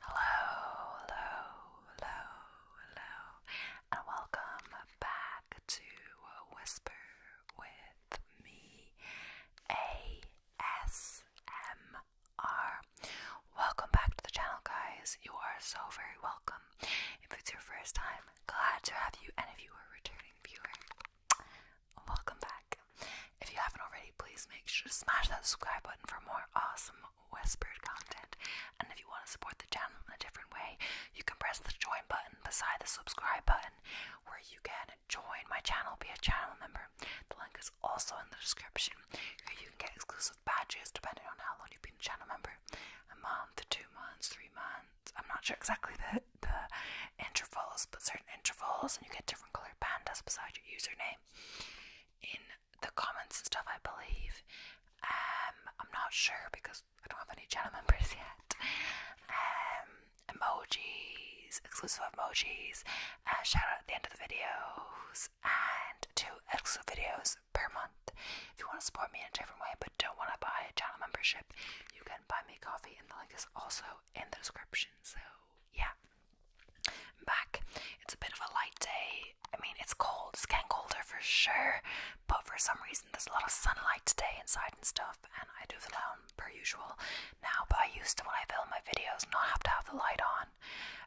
Hello, hello, hello, hello, and welcome back to Whisper with me ASMR. Welcome back to the channel, guys. You are so very welcome. If it's your first time, glad to have you, and if you are a returning viewer, Welcome back. If you haven't already, please make sure to smash that subscribe button for more awesome whispered content. And if you want to support the channel in a different way, you can press the join button beside the subscribe button where you can join my channel, be a channel member. The link is also in the description. You can get exclusive badges depending on how long you've been a channel member. A month, two months, three months I'm not sure exactly the, intervals, but certain intervals, and you get different colored pandas beside your username in the comments and stuff, I believe. Um, I'm not sure because I don't have any channel members yet. Um, emojis, exclusive emojis, uh, shout out at the end of the videos, and two exclusive videos per month. If you want to support me in a different way, but don't want to buy a channel membership, you can buy me coffee, and the link is also in the description. So, yeah. back. It's a bit of a light day. I mean, it's cold, it's getting colder for sure, but for some reason, there's a lot of sunlight today inside and stuff, and I do the lounge per usual now. But I used to, when I film my videos, not have to have the light on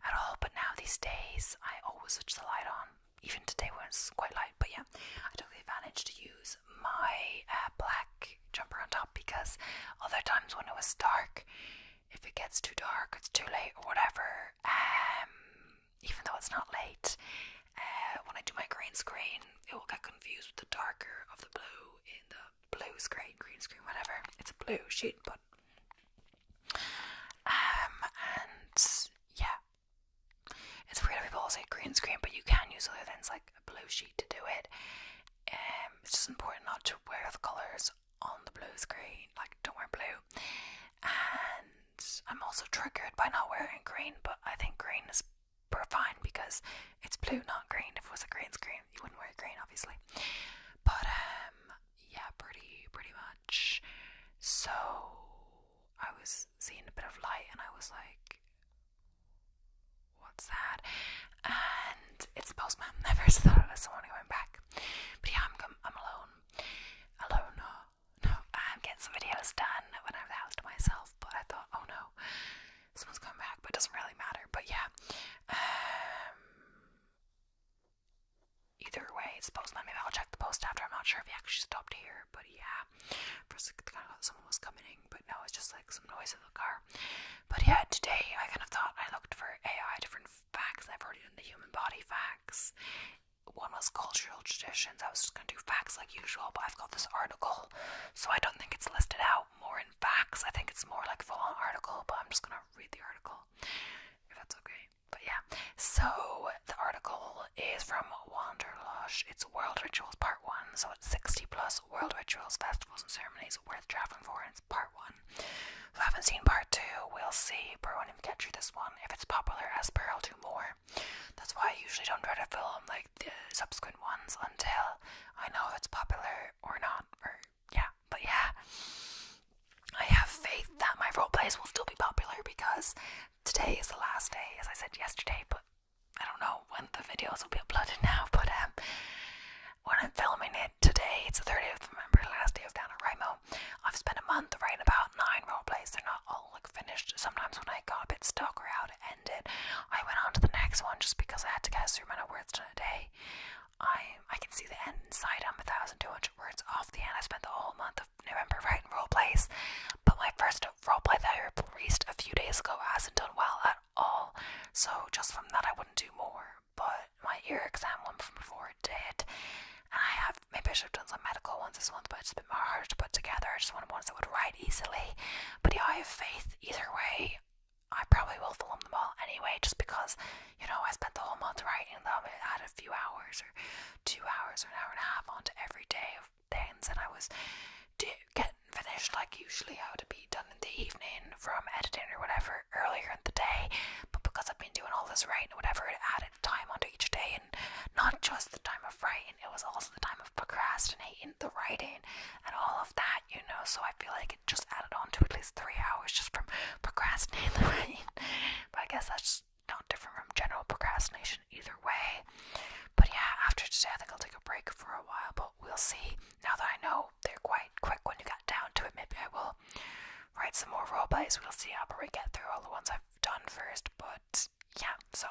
at all, but now these days, I always switch the light on. Even today, when it's quite light, but yeah, I took the advantage to use my uh, black jumper on top because other times when it was dark, if it gets too dark, it's too late or whatever. Um, even though it's not late, uh, when I do my green screen, it will get confused with the darker of the blue in the blue screen, green screen, whatever. It's a blue sheet, but um, and yeah, it's weird if people all say green screen, but you can use other things like a blue sheet to do it. Um, it's just important not to wear the colours on the blue screen, like don't wear blue. And I'm also triggered by not wearing green, but I think green is fine because it's blue, not green. If it was a green screen, you wouldn't wear green, obviously. But um, yeah, pretty pretty much. So I was seeing a bit of light, and I was like, what's that? And it's a postman. I first thought it was someone going back. But yeah, I'm I'm alone. Alone, no. I'm getting some videos done when I'm the house to myself, but I thought, oh no, someone's coming back, but doesn't really matter. But yeah. Um either way, it's postman. Maybe I'll check the post after. I'm not sure if he actually stopped here, but yeah. First, I someone was coming in, but no, it's just like some noise in the car. But yeah, today I kind of thought I looked for AI different facts. I've already done the human body facts. One was cultural traditions. I was just gonna do facts like usual, but I've got this article, so I don't think it's listed out more in facts. I think it's more like a full on article, but I'm just gonna read the article if that's okay. But yeah, so the article is from Wanderlust. It's World Rituals Part One. So 60 plus world rituals, festivals, and ceremonies worth traveling for, and it's part one. If I haven't seen part two, we'll see. But I won't even get you this one. If it's popular, as per, I'll do more. That's why I usually don't try to film like the subsequent ones until I know if it's popular or not. Or yeah, but yeah, I have faith that my role plays will still be popular because today is the last day, as I said yesterday. But I don't know when the videos will be uploaded now, but um, when I'm filming it today, it's the 30th of November, last day of NaNoWriMo. I've spent a month writing about nine role plays. They're not all like finished. Sometimes when I got a bit stuck or how to end it, I went on to the next one just because I had to get through amount of words in a day. I I can see the end inside. I'm a 1,200 words off the end. I spent the whole month of November writing role plays, but my first role play that I released a few days ago hasn't done well at all. So just from that, I wouldn't do more. But my ear exam one from before did, and I have maybe I have done some medical ones this month, but it's been hard to put together. I just wanted ones that would write easily. But yeah, I have faith either way. I probably will film them all anyway, just because you know I spent the whole month writing them. I had a few hours or two hours or an hour and a half onto every day of things, and I was do get finished like usually I would be done in the evening from editing or whatever earlier in the day but because I've been doing all this writing and whatever it added time onto each day and not just the time of writing it was also the time of procrastinating the writing and all of that you know so I feel like it just added on to at least three hours just from procrastinating the writing but I guess that's not different from general procrastination either way but yeah after today I think I'll take a break for a while but we'll see now that I know they're quite quick when you got down to it, maybe I will write some more role plays. We'll see how we get through all the ones I've done first, but yeah, so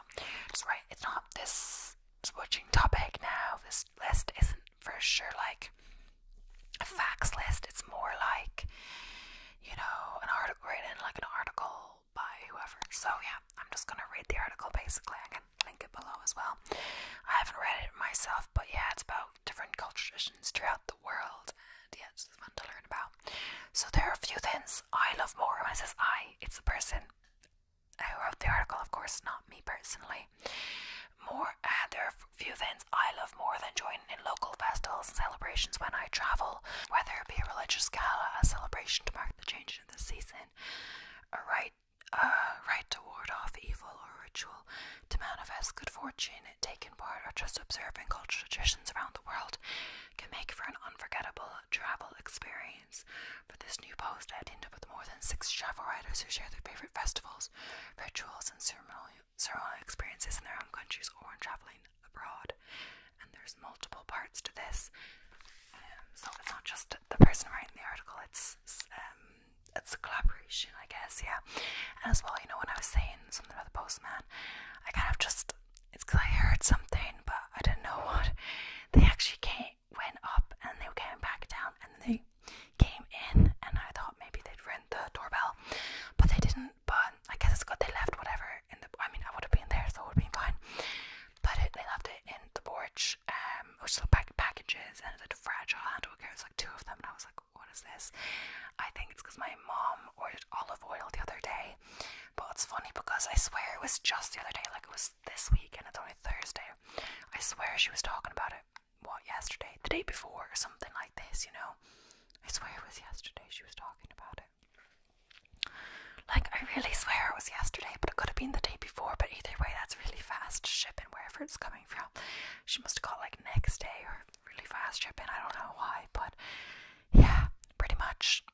just right. It's not this switching topic now. This list isn't for sure like a facts list, it's more like you know, an article written like an article by whoever. So yeah, I'm just gonna read the article basically link it below as well. I haven't read it myself, but yeah, it's about different culture traditions throughout the world, and yeah, it's fun to learn about. So there are a few things I love more. When says I, it's the person who wrote the article, of course, not me personally. More, and uh, there are a few things I love more than joining in local festivals and celebrations when I travel, whether it be a religious gala, a celebration to mark the change in the season, Alright uh, right to ward off evil or ritual, to manifest good fortune, taking part or just observing cultural traditions around the world, can make for an unforgettable travel experience. For this new post, I teamed up with more than six travel writers who share their favorite festivals, rituals, and ceremonial, experiences in their own countries or when traveling abroad. And there's multiple parts to this, um, so it's not just the person writing the article. It's, it's um, it's a collaboration, I guess. Yeah, and as well, you know, when I was saying something about the postman, I kind of just it's because I heard something, but I didn't know what. They actually came, went up, and they came back down, and they came in, and I thought maybe they'd rent the doorbell, but they didn't. But I guess it's good they left whatever in the. I mean, I would have been there, so it would have been fine put they left it in the porch, um, which is the pack packages, and it's a fragile handle care. It's like two of them, and I was like, what is this? I think it's because my mom ordered olive oil the other day, but it's funny because I swear it was just the other day, like it was this week, and it's only Thursday. I swear she was talking about it, what, yesterday, the day before, or something like this, you know? I swear it was yesterday she was talking about it. Like, I really swear it was yesterday, but it could have been the day before but either way, that's really fast shipping wherever it's coming from. She must have got like next day or really fast shipping. I don't know why, but yeah, pretty much.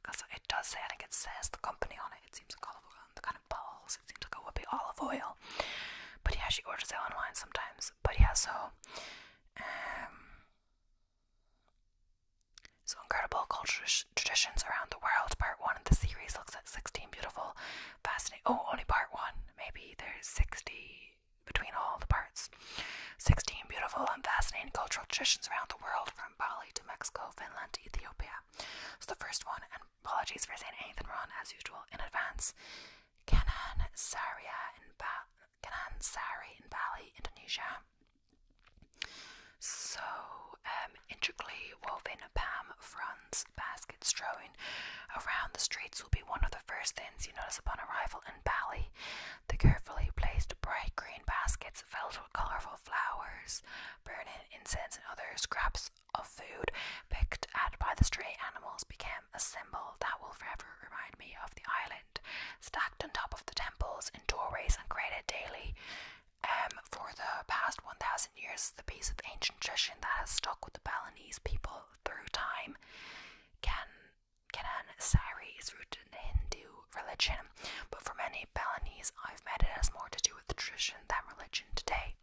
Because um, it does say, I think it says the company on it. It seems like olive oil, the kind of balls. It seems like it would be olive oil. But yeah, she orders it online sometimes. But yeah, so. Um, so incredible cultures traditions around the world. Part one of the series looks at 16 beautiful, fascinating. Oh, only part one. Maybe there's 60 between all the parts. 16 beautiful and fascinating cultural traditions around the world, from Bali to Mexico, Finland to Ethiopia. So the first one, and apologies for saying anything wrong as usual in advance. Kanan Saria in Kanan Sari in Bali, Indonesia. So um, intricately woven palm fronds baskets thrown around the streets will be one of the first things you notice upon arrival in Bali. The carefully placed bright green baskets filled with colourful flowers, burning incense, and other scraps of food picked at by the stray animals became a symbol that will forever remind me of the island. Stacked on top of the temples in doorways and created daily um, for the past 1,000 years, the piece of ancient tradition that has stuck with the Balinese people through time, Can Kanan Sari, is rooted in the Hindu religion, but for many Balinese I've met, it has more to do with tradition than religion today.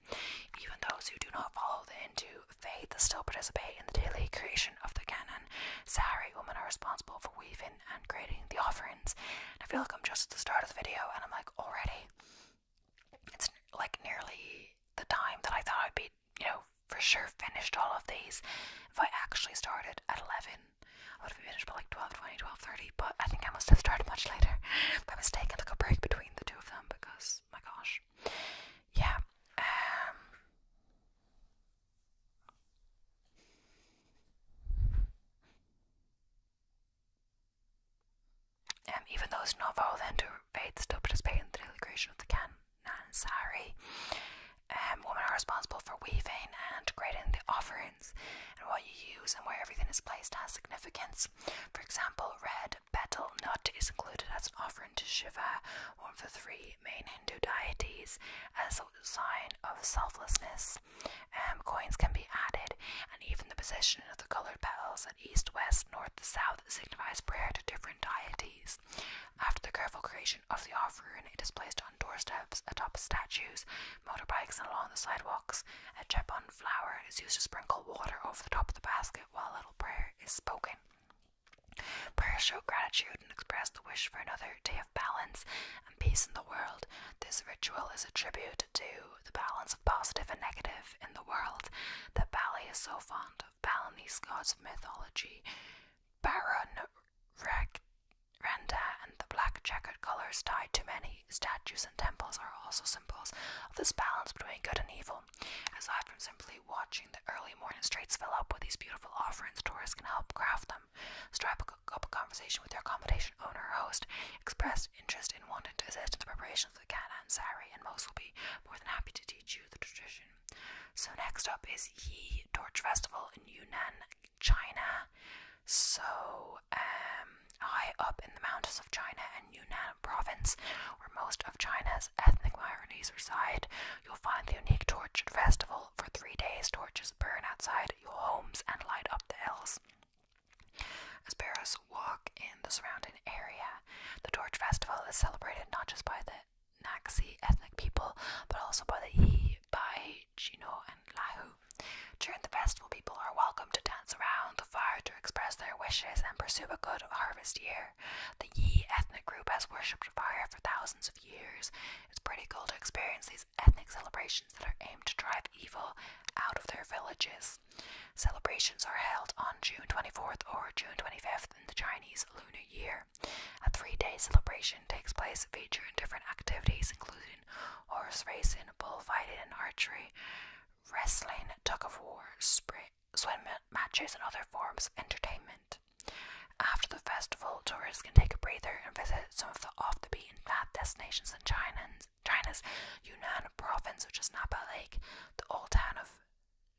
Even those who do not follow the Hindu faith still participate in the daily creation of the Kanan Sari. Women are responsible for weaving and creating the offerings. I feel like I'm just at the start of the video and I'm like, already? it's like nearly the time that I thought I'd be, you know, for sure finished all of these. If I actually started at 11, I would have finished by like 12 20, 12 30, but I think I must have started much later by mistake. I took a break between the two of them because, my gosh. Yeah. Um, um, even those not then to faith still participate in the daily creation of the can. Canaan sari. Um, women are responsible for weaving and creating the offerings, and what you use and where everything is placed has significance. For example, red betel nut is included as an offering to Shiva, one of the three main Hindu deities, as a sign of selflessness. Um, coins can be added, and even the position of the colored petals east, west, north, south signifies prayer to different deities. After the careful creation of the offering, it is placed on doorsteps, atop statues, motorbikes, and along the sidewalks. A chepon flower is used to sprinkle water over the top of the basket while a little prayer is spoken. Prayers show gratitude and express the wish for another day of balance and peace in the world. This ritual is a tribute to the balance of positive and negative in the world that Bali is so fond of. Balin, these gods of mythology, Baron Renda, and the black checkered colors tied to many statues and temples are also symbols of this balance between good and evil. Aside from simply watching the early morning streets fill up with these beautiful offerings, tourists can help craft them. Strike up a conversation with their accommodation owner or host, express interest in wanting to assist in the preparation of the Canaan, Sari, and most will be more than happy to teach you the tradition. So next up is Yi Torch Festival in Yunnan, China. So um, high up in the mountains of China and Yunnan province, where most of China's ethnic minorities reside, you'll find the unique Torch Festival. For three days, torches burn outside your homes and light up the hills. As bears walk in the surrounding area, the Torch Festival is celebrated not just by the Naxi ethnic people, but also by the Yi, Bai, Chino, and Lahu. During the festival, people are welcome to dance around the fire to express their wishes and pursue a good harvest year. The Yi ethnic group has worshipped fire for thousands of years. It's pretty cool to experience these ethnic celebrations that are aimed to drive evil out of their villages. Celebrations are held on June 24th or June 25th in the Chinese Lunar Year. A three day celebration takes place featuring different activities, including horse racing, bullfighting, and archery, wrestling, tug of war, swim matches, and other forms of entertainment. After the festival, tourists can take a breather and visit some of the off the beaten path destinations in China China's Yunnan province, which is Napa Lake, the old town of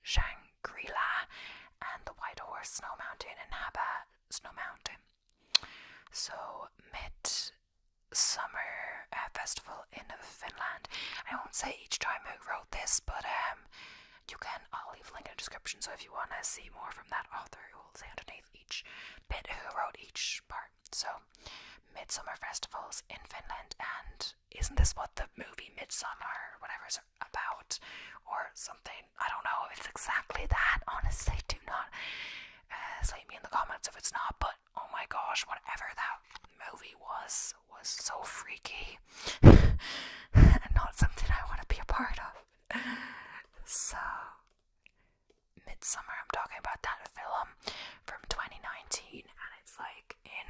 Shangri La, and the White Horse Snow Mountain in Napa Snow Mountain. So, midsummer uh, festival in Finland. I won't say each time who wrote this, but um, you can. I'll leave a link in the description. So if you want to see more from that author, it will say underneath each bit who wrote each part. So, midsummer festivals in Finland and isn't this what the movie Midsummer or whatever it's about or something? I don't know it's exactly that. Honestly, do not uh, leave me in the comments if it's not. But oh my gosh, whatever that movie was was so freaky and not something I want to be a part of. So. Midsummer, I'm talking about that film from 2019, and it's like in.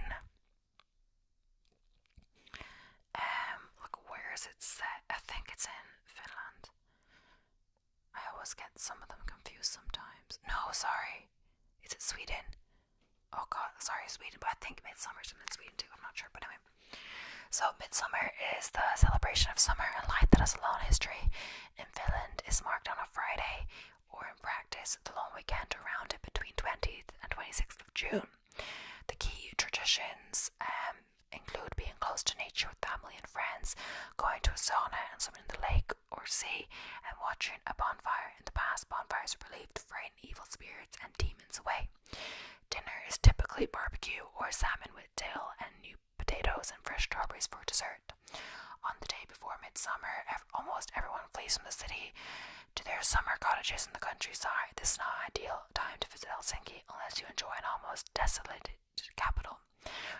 Um, look, where is it set? I think it's in Finland. I always get some of them confused sometimes. No, sorry. Is it Sweden? Oh god, sorry, Sweden, but I think Midsummer's in Sweden too, I'm not sure, but anyway. So, Midsummer is the celebration of summer and light that has a long history in Finland. is marked on a Friday or in practice the long weekend around it between 20th and 26th of June. The key traditions um, include being close to nature with family and friends, going to a sauna and swimming in the lake or sea, and watching a bonfire. In the past, bonfires were believed to frighten evil spirits and demons away. Dinner is typically barbecue or salmon with dill and new potatoes and fresh strawberries for dessert. On the day before midsummer, almost everyone flees from the city to their summer cottages in the countryside. This is not an ideal time to visit Helsinki unless you enjoy an almost desolated capital.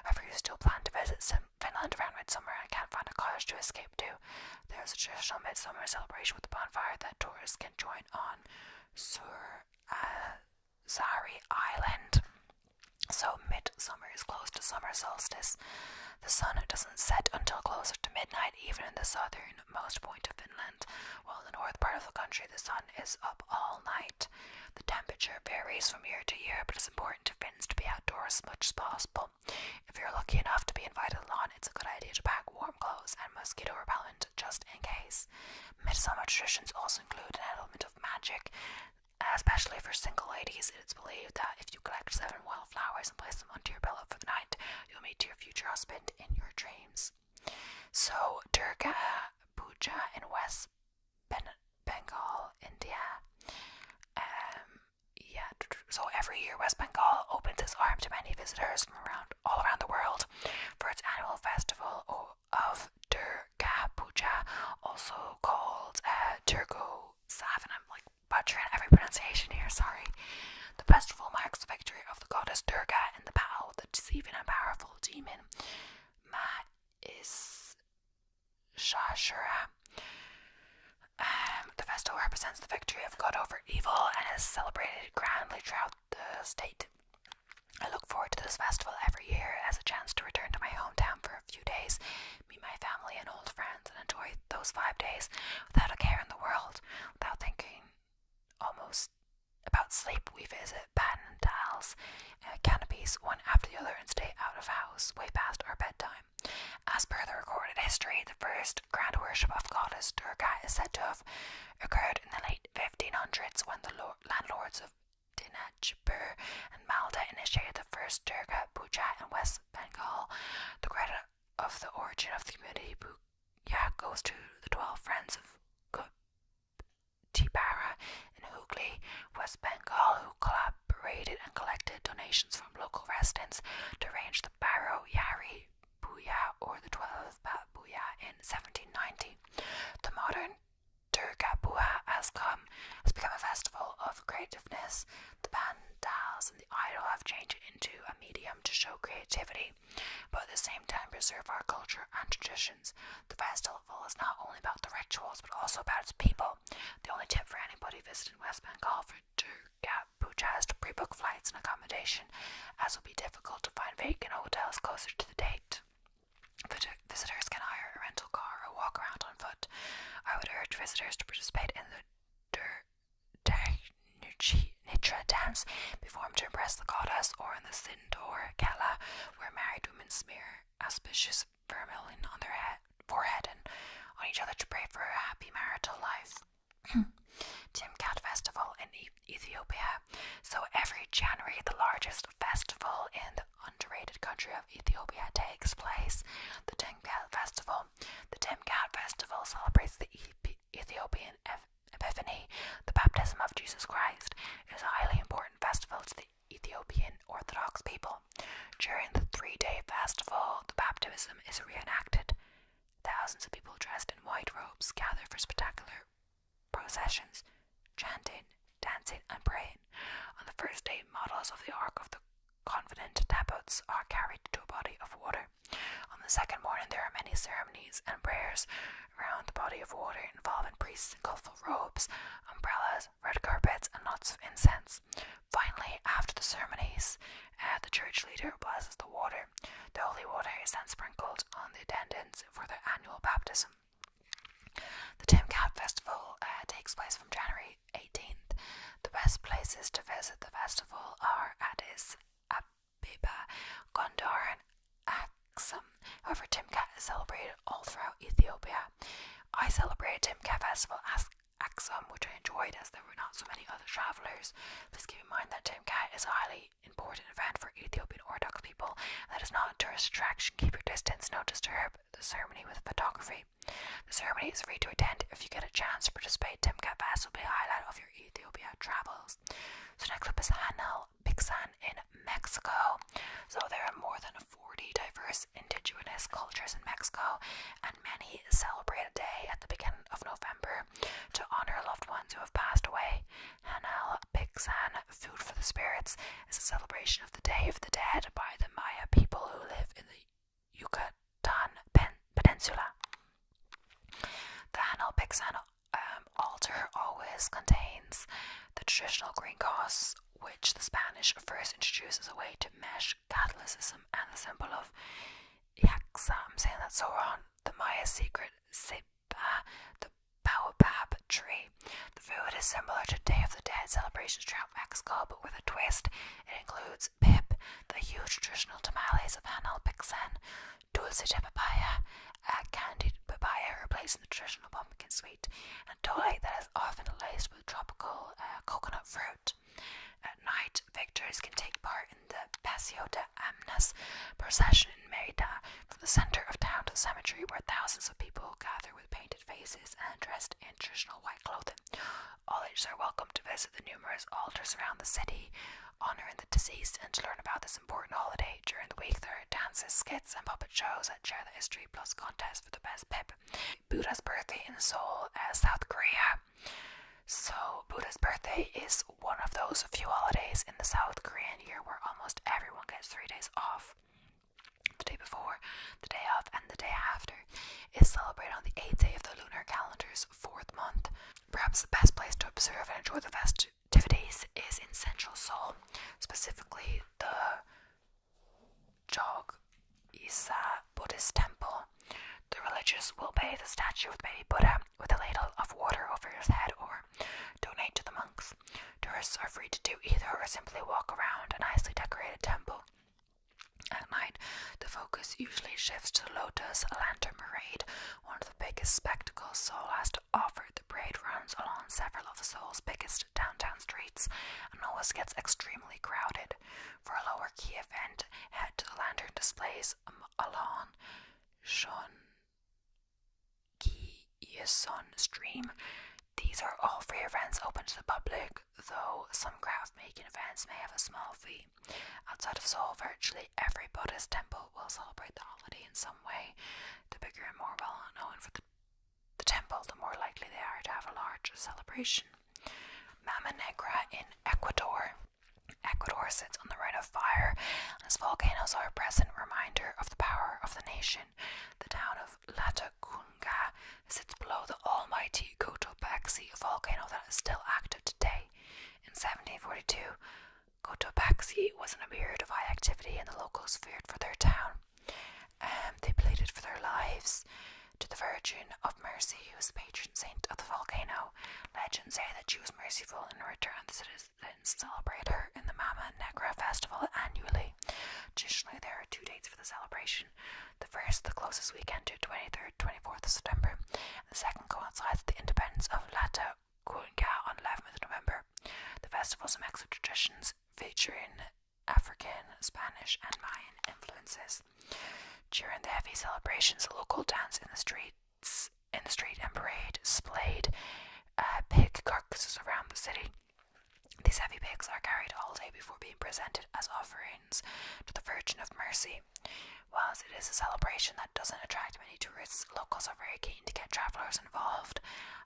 However, you still plan to visit Finland around midsummer and can't find a cottage to escape to, there is a traditional midsummer celebration with a bonfire that tourists can join on Sur uh, Island. So, midsummer is close to summer solstice. The sun doesn't set until closer to midnight, even in the southernmost point of Finland, while in the north part of the country the sun is up all night. The temperature varies from year to year, but it's important to Finns to be outdoors as much as possible. If you're lucky enough to be invited along, it's a good idea to pack warm clothes and mosquito repellent just in case. Midsummer traditions also include an element of magic, especially for single ladies it's believed that if you collect seven wildflowers and place them onto your pillow for the night, you'll meet your future husband in your dreams. So, Durga Puja in West Bengal, India. Um, yeah, so every year West Bengal opens its arms to many visitors from around all around the world for its annual festival of Durga Puja, also called uh, Durgo Savan butchering every pronunciation here, sorry. The festival marks the victory of the goddess Durga in the battle with the deceiving and powerful demon Ma is Shashura. Um, the festival represents the victory of good over evil and is celebrated grandly throughout the state. I look forward to this festival every year as a chance to return to my hometown for a few days meet my family and old friends, and enjoy those five days without a care in the world, without thinking almost about sleep. We visit Baden and Dalles uh, canopies one after the other and stay out of house way past our bedtime. As per the recorded history, the first grand worship of goddess Durga is said to have occurred in the late 1500s when the landlords of Dinajpur and Malda initiated the first Durga Puja in West Bengal. The credit of the origin of the community book goes to the 12 friends of Tipara and Hooghly, West Bengal, who collaborated and collected donations from local residents to arrange the Baro Yari Buya or the 12th Bat Buya in 1790. The modern Durga Buha has, come, has become a festival of creativeness the pandals and the idol have changed into a medium to show creativity, but at the same time preserve our culture and traditions. The festival is not only about the rituals, but also about its people. The only tip for anybody visiting West Bengal for Durga Puja is to pre-book flights and accommodation, as it will be difficult to find vacant hotels closer to the date. Visitors can hire a rental car or walk around on foot. I would urge visitors to participate in the Dur Nitra dance performed to impress the goddess, or in the Sindor Kala, where married women smear auspicious vermilion on their forehead and on each other to pray for a happy marital life. Timcat Festival in Ethiopia. So every January, the largest festival in the underrated country of Ethiopia takes place. The Timcat Festival the Timkat Festival celebrates the Ethiopian Epiphany, the baptism of Jesus Christ. It is a highly important festival to the Ethiopian Orthodox people. During the three day festival, the baptism is reenacted. Thousands of people dressed in white robes gather for spectacular processions, chanting, dancing, and praying. On the first day, models of the Ark of the Confident tabots are carried to a body of water. On the second morning, there are many ceremonies and prayers around the body of water, involving priests in colorful robes, umbrellas, red carpets, and lots of incense. Finally, after the ceremonies, uh, the church leader blesses the water. The holy water is then sprinkled on the attendants for their annual baptism. The Tim Cat Festival uh, takes place from January 18th. The best places to visit the festival are Addis Ababa, Gondor, and Axum. However, Timkat is celebrated all throughout Ethiopia. I celebrated Timkat Festival at Axum, which I enjoyed as there were not so many other travellers. Please keep in mind that Timkat is a highly important event for Ethiopian Orthodox people. That is not a tourist attraction. Keep your distance, no disturb the ceremony with photography. The ceremony is free to attend. If you get a chance to participate, Timcat Fest will be a highlight of your Ethiopia travels. So next up is Hanal Pixan in Mexico. So there are more than 40 diverse indigenous cultures in Mexico, and many celebrate a day at the beginning of November to honor loved ones who have passed away. Hanal Pixan, Food for the Spirits, is a celebration of the Day of the Dead by the Maya people who live in the Yucatan Peninsula. The Hanal Pixan um, altar always contains the traditional green cross, which the Spanish first introduced as a way to mesh Catholicism and the symbol of Yaxa. I'm saying that so wrong. The Maya secret Sipa, the baobab tree. The food is similar to Day of the Dead celebrations throughout Mexico, but with a twist. It includes pip, the huge traditional tamales of Hanal Picsan, dulce de papaya, a candied papaya replacing the traditional pumpkin sweet, and tole that is often laced with tropical uh, coconut fruit. At night, victors can take part in the Paseo de Amnas procession in Merida, from the center of town to the cemetery where thousands of people gather with painted faces and dressed in traditional white clothing. All ages are welcome to visit the numerous altars around the city, honouring the deceased, and to learn about this important holiday. During the week, there are dances, skits, and puppet shows that share the history, plus contests for the best pip. Buddha's birthday in Seoul, uh, South Korea. So, Buddha's birthday is one of those few holidays in the South Korean year where almost everyone gets three days off. The day before, the day of, and the day after is celebrated on the eighth day of the lunar calendar's fourth month. Perhaps the best place to observe and enjoy the festivities is in Central Seoul, specifically the Jog Isa Buddhist Temple. The religious will bathe the statue of baby Buddha with a ladle of water over his head or donate to the monks. Tourists are free to do either or simply walk around a nicely decorated temple. At night, the focus usually shifts to the Lotus Lantern Parade, one of the biggest spectacles Seoul has to offer. The parade runs along several of Seoul's biggest downtown streets and always gets extremely crowded. For a lower key event, head to the lantern displays um, along Shon Ki Yeson Stream. These are all free events open to the public, though some craft making events may have a small fee. Outside of Seoul, virtually every Buddhist temple will celebrate the holiday in some way. The bigger and more well known for the, the temple, the more likely they are to have a large celebration. Mama Negra in Ecuador. Ecuador sits on the ring of fire, and its volcanoes are a present reminder of the power of the nation. The town of Latacunga sits below the almighty Cotopaxi volcano that is still active today. In 1742, Cotopaxi was in a period of high activity, and the locals feared for their town. And um, they pleaded for their lives to the Virgin of Mercy, who is the patron saint of the volcano. Legends say that she was merciful, and in return, the citizens celebrate her in the Mama Negra festival annually. Traditionally, there are two dates for the celebration. The first, the closest weekend to 23rd, 24th of September, the second coincides with the independence of Lata Kuinka on 11th November. The festival is a mix of traditions featuring African, Spanish, and Mayan influences. During the heavy celebrations, local dance in the streets, in the street and parade splayed uh, pig carcasses around the city. These heavy pigs are carried all day before being presented as offering to the Virgin of Mercy. Whilst it is a celebration that doesn't attract many tourists, locals are very keen to get travellers involved.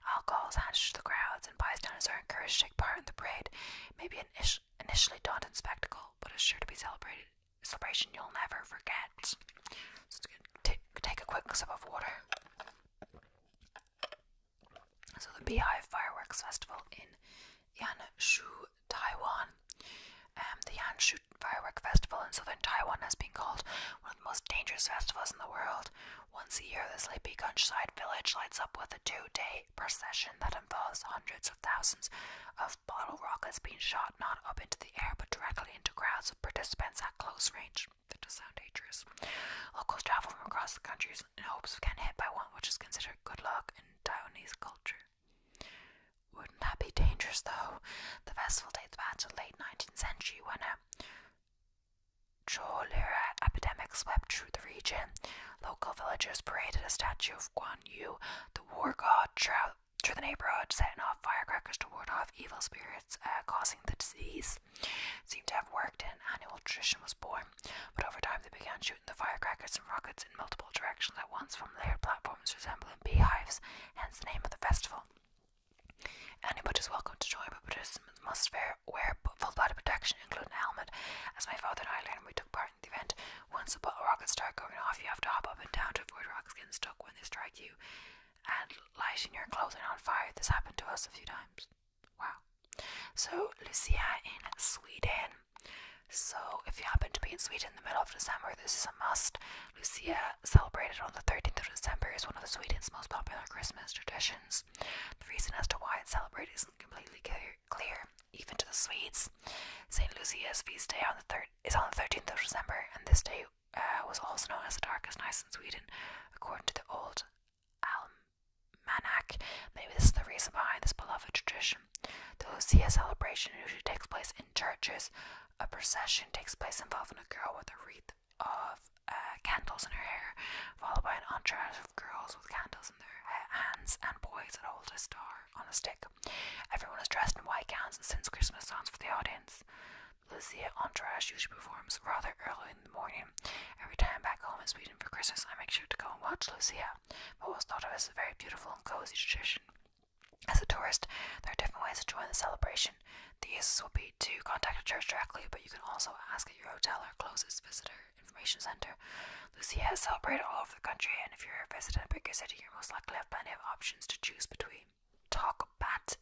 Alcohol is handed to the crowds, and bystanders are encouraged to take part in the parade. It may be an initially daunting spectacle, but it's sure to be celebrated. A celebration you'll never forget. So it's take a quick sip of water. So the Beehive Fireworks Festival in Yan Shu. Taiwan. Um, the Yanshut Firework Festival in southern Taiwan has been called one of the most dangerous festivals in the world. Once a year, the sleepy countryside village lights up with a two day procession that involves hundreds of thousands of bottle rockets being shot not up into the air but directly into crowds of participants at close range. That does sound dangerous. Locals travel from across the country in hopes of getting hit by one, which is considered good luck in Taiwanese culture. Wouldn't that be dangerous, though? The festival dates back to the late 19th century when a cholera epidemic swept through the region. Local villagers paraded a statue of Guan Yu, the war god, through the neighborhood, setting off firecrackers to ward off evil spirits uh, causing the disease. It seemed to have worked, and annual tradition was born. But over time, they began shooting the firecrackers and rockets in multiple directions at once from layered platforms resembling silent beehives, hence the name of the festival. Any is welcome to join, but participants must wear full body protection, including a helmet. As my father and I learned we took part in the event, once the rockets start going off, you have to hop up and down to avoid rocks getting stuck when they strike you and lighting your clothing on fire. This happened to us a few times. Wow. So, Lucia in Sweden so, if you happen to be in Sweden in the middle of December, this is a must. Lucia, celebrated on the 13th of December, is one of Sweden's most popular Christmas traditions. The reason as to why it's celebrated isn't completely clear, even to the Swedes. St. Lucia's feast day on the third is on the 13th of December, and this day uh, was also known as the darkest night in Sweden, according to the old almanac. Maybe this is the reason behind this beloved tradition. The Lucia celebration usually takes place in churches, a procession takes place involving a girl with a wreath of uh, candles in her hair, followed by an entourage of girls with candles in their hands and boys that hold a star on a stick. Everyone is dressed in white gowns and sings Christmas songs for the audience. Lucia entourage usually performs rather early in the morning. Every time I'm back home in Sweden for Christmas, I make sure to go and watch Lucia. What was thought of as a very beautiful and cozy tradition as a tourist, there are different ways to join the celebration. The easiest would be to contact a church directly, but you can also ask at your hotel or closest visitor information center. Lucia has celebrated all over the country, and if you're a visitor visiting a bigger city, you're most likely to have plenty of options to choose between. Talk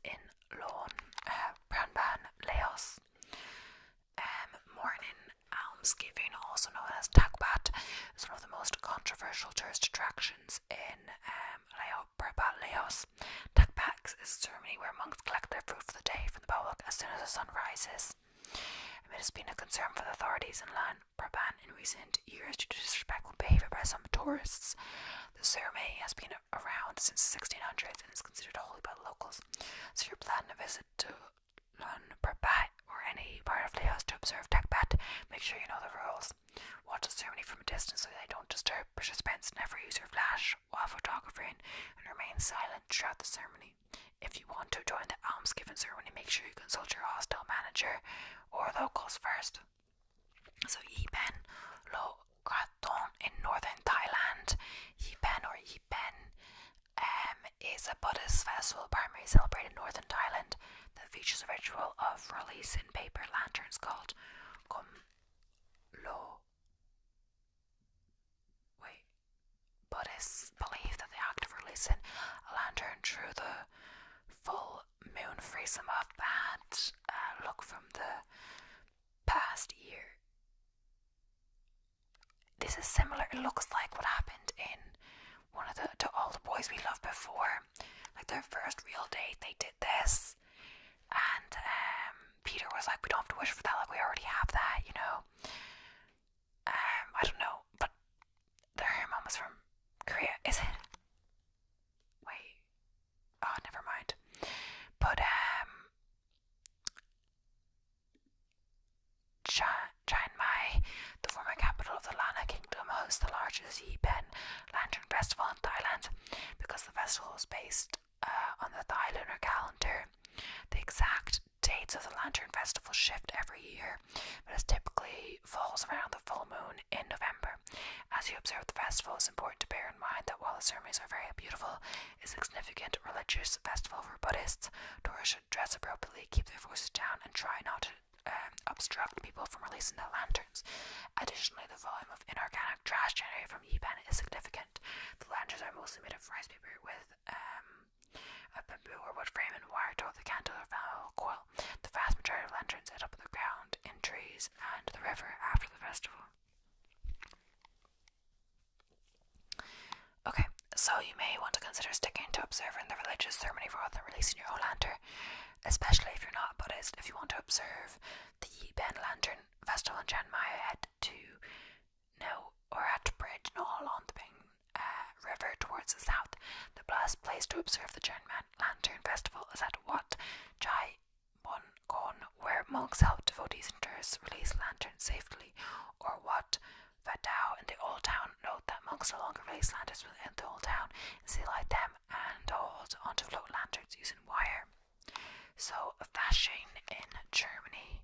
in Lorn, uh, Pranban, Laos. Um, morning almsgiving, also known as Takbat, is one of the most controversial tourist attractions in um, Leos. Takpax is a ceremony where monks collect their fruit for the day from the public as soon as the sun rises. It has been a concern for the authorities in Lan Praban in recent years due to disrespectful behaviour by some tourists. The ceremony has been around since the 1600s and is considered holy by the locals. So, if you're planning a visit to Lan Praban or any part of Laos to observe Takbat, make sure you know the rules. Watch the ceremony from a distance so they don't disturb participants, never use your flash while photographing, and remain silent throughout the ceremony. If you want to join the alms giving ceremony, make sure you consult your hostel manager or locals first. So, Yipen Lo Kraton in northern Thailand, Yipen or Yipen um, is a Buddhist festival primarily celebrated in northern Thailand that features a ritual of releasing paper lanterns called Kum Lo. Wait. Buddhists believe that the act of releasing a lantern through the full moon frees them up and uh, look from the past year. This is similar, it looks like what happened in one of the to all the boys we loved before like their first real date, they did this, and um, Peter was like, "We don't have to wish for that. Like we already have that, you know." Um, I don't know, but their hair mom was from Korea, is it? Wait, oh, never mind. But um, Chiang Mai, the former capital of the Lana Kingdom, hosts the largest Yi Lantern, Festival in Thailand. Because the festival is based uh, on the Thai lunar calendar, the exact dates of the Lantern Festival shift every year, but it typically falls around the full moon in November. As you observe the festival, it's important to bear in mind that while the ceremonies are very beautiful, it's a significant religious festival for Buddhists. Tourists should dress appropriately, keep their voices down, and try not to um, obstruct people from releasing their lanterns. Additionally, the volume of inorganic trash generated from Yipen is significant. The lanterns are mostly made of rice paper with um, a bamboo or wood frame and wire to the candle or flammable coil. The vast majority of lanterns end up on the ground, in trees, and the river after the festival. Okay, so you may want to consider sticking to observing the religious ceremony rather than releasing your own lantern especially if you're not Buddhist, if you want to observe the Ben Lantern Festival in Chiang Mai, head to no or at Bridge Knoll on the Ping uh, River towards the south. The best place to observe the Chiang Mai Lantern Festival is at Wat Chai Mon Kon, where monks help devotees and tourists release lanterns safely, or Wat Vadao in the old town. Note that monks no longer release lanterns within the old town and see light them and hold onto float lanterns using wire. So, fashion in Germany.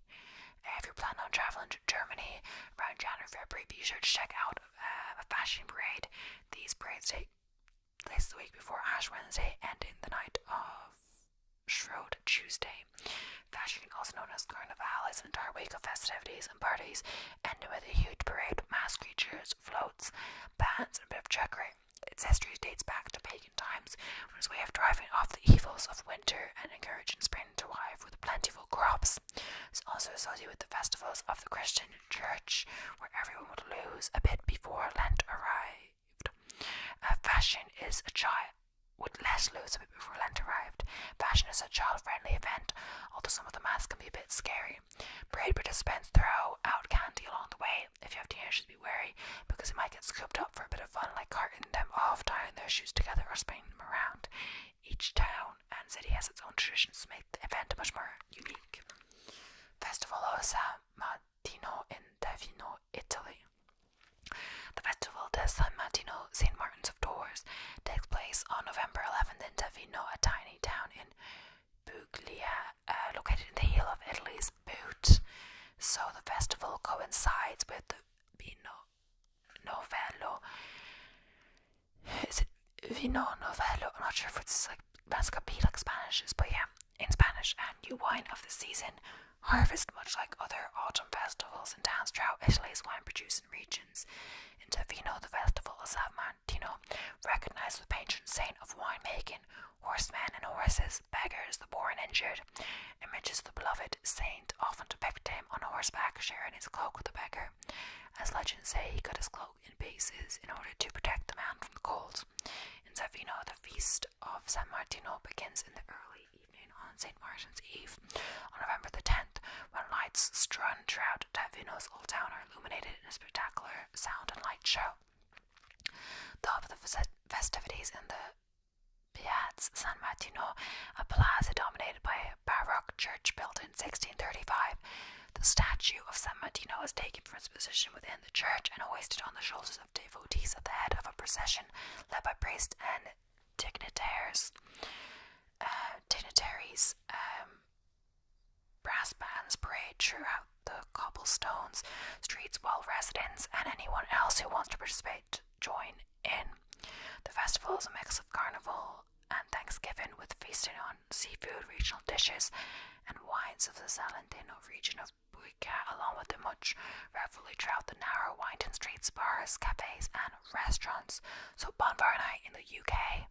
if you're planning on traveling to Germany around January, February, be sure to check out uh, a fashion parade. These parades take place the week before Ash Wednesday and in the night of Shrove Tuesday. Fashion, also known as Carnival, is an entire week of festivities and parties, ending with a huge parade of masked creatures, floats, bands, and a bit of checkering. Its history dates back to pagan times, as a way of driving off the evils of winter and encouraging spring to arrive with plentiful crops. It's also associated with the festivals of the Christian church, where everyone would lose a bit before Lent arrived. Uh, fashion is a child with less lose a bit before Lent arrived. Fashion is a child-friendly event, although some of the masks can be a bit scary. Parade participants throw out candy along the way. If you have teenagers, be wary because it might get scooped up for a bit of fun, like carting them off, tying their shoes together, or spinning them around. Each town and city has its own traditions to make the event much more unique. Festival of San Martino in Davino, Italy. The festival de San Martino, St. Martin's of Tours, takes place on November 11th in Davino, a tiny town in Puglia, uh, located in the heel of Italy's boot. So the festival coincides with the Vino Novello. Is it Vino Novello? I'm not sure if it's like Vascapí, like Spanish is, but yeah, in Spanish. And new wine of the season, harvest much like other autumn festivals in towns throughout Italy's wine producing regions. In Tavino, the festival of San Martino Recognize the patron saint of winemaking, horsemen and horses, beggars, the poor and injured, images of the beloved saint, often depict him on horseback, sharing his cloak with a beggar. As legends say, he cut his cloak in pieces in order to protect the man from the cold. In Savino, the feast of San Martino begins in the early evening on St. Martin's Eve, on November the 10th, when lights strung throughout Savino's old town are illuminated in a spectacular sound and light show. Though of the festivities in the Piazza San Martino, a plaza dominated by a baroque church built in 1635, the statue of San Martino is taken from its position within the church and hoisted on the shoulders of devotees at the head of a procession led by priests and dignitaries. Uh, um, Brass bands parade throughout the cobblestones, streets while residents and anyone else who wants to participate join in. The festival is a mix of carnival and Thanksgiving with feasting on seafood, regional dishes, and wines of the Salentino region of Buica, along with the much revelry throughout the narrow winding streets, bars, cafes, and restaurants. So bonfire night in the UK.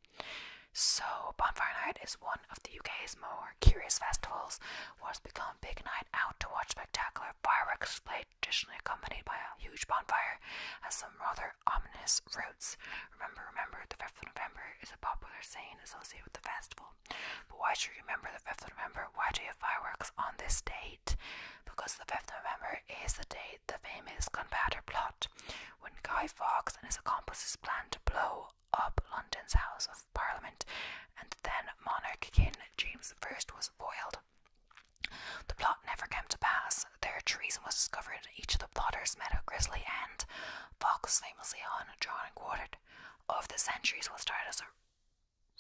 So, Bonfire Night is one of the UK's more curious festivals, what has become a big night out to watch spectacular fireworks traditionally accompanied by a huge bonfire, has some rather ominous roots. Remember, remember, the 5th of November is a popular saying associated with the festival. But why should you remember the 5th of November? Why do you have fireworks on this date? Because the 5th of November is the date the famous gunpowder plot, when Guy Fawkes and his accomplices planned to blow up London's House of Parliament, and then monarch King James I was foiled. The plot never came to pass. Their treason was discovered, and each of the plotters met a grisly end. Fox famously hung, drawn, and quartered. Of the centuries, what started as a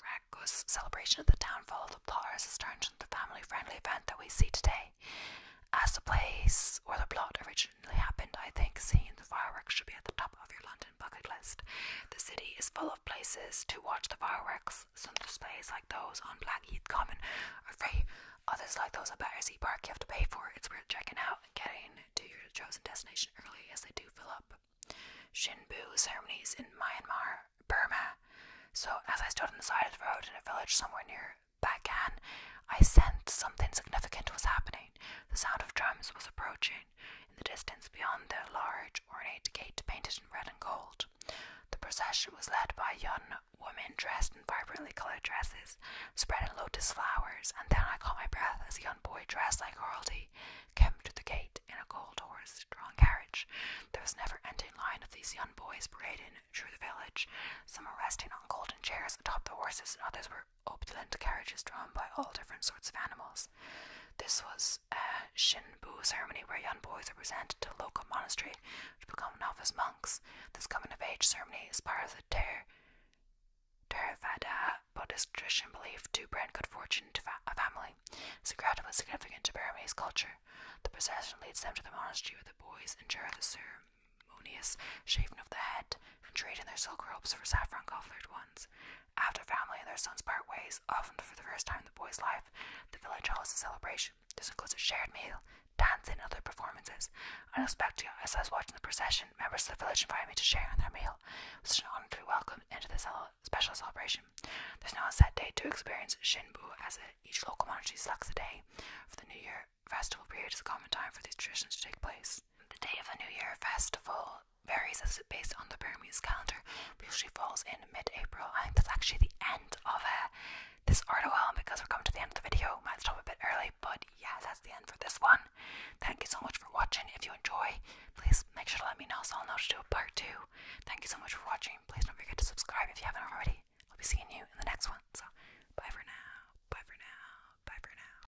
reckless celebration of the downfall of the plotters has turned and the family-friendly event that we see today. As the place or the plot origin happened, I think seeing the fireworks should be at the top of your London bucket list. The city is full of places to watch the fireworks. Some displays like those on Blackheath Common are free. Others like those at Battersea Park you have to pay for. It's worth checking out and getting to your chosen destination early as they do fill up. Shinbu ceremonies in Myanmar, Burma. So as I stood on the side of the road in a village somewhere near Bagan, I sensed something significant was happening. The sound of drums was approaching. In the distance beyond their large, ornate gate painted in red and gold, the procession was led by young women dressed in vibrantly colored dresses, spreading lotus flowers, and then I caught my breath as a young boy dressed like royalty came to the gate in a gold horse-drawn carriage. There was never ending line of these young boys parading through the village. Some were resting on golden chairs atop the horses, and others were opulent carriages drawn by all different sorts of animals. This was a Shinbu ceremony where young boys are presented to a local monastery to become novice monks. This coming of age ceremony is part of the Ter Theravada Buddhist tradition belief to bring good fortune to a family. It's incredibly significant to Burmese culture. The procession leads them to the monastery where the boys endure the ceremonious shaving of the head and trade in their silk robes for saffron coloured ones. After family and their sons part ways, often for the first time in the boy's life, the village holds a celebration. This includes a shared meal, dancing, and other performances. Unexpectedly, as I was watching the procession, members of the village invited me to share in their meal. It was an honor welcome into this special celebration. There's now a set date to experience Shinbu, as each local monastery selects a day for the New Year festival period is a common time for these traditions to take place. The day of the New Year festival varies as based on the Burmese calendar, usually falls in mid-April. I that's actually the end of uh, this article, and because we're coming to the end of the video, might stop a bit early, but yeah, that's the end for this one. Thank you so much for watching. If you enjoy, please make sure to let me know so I'll know to do a part two. Thank you so much for watching. Please don't forget to subscribe if you haven't already. I'll be seeing you in the next one. So bye for now. Bye for now. Bye for now.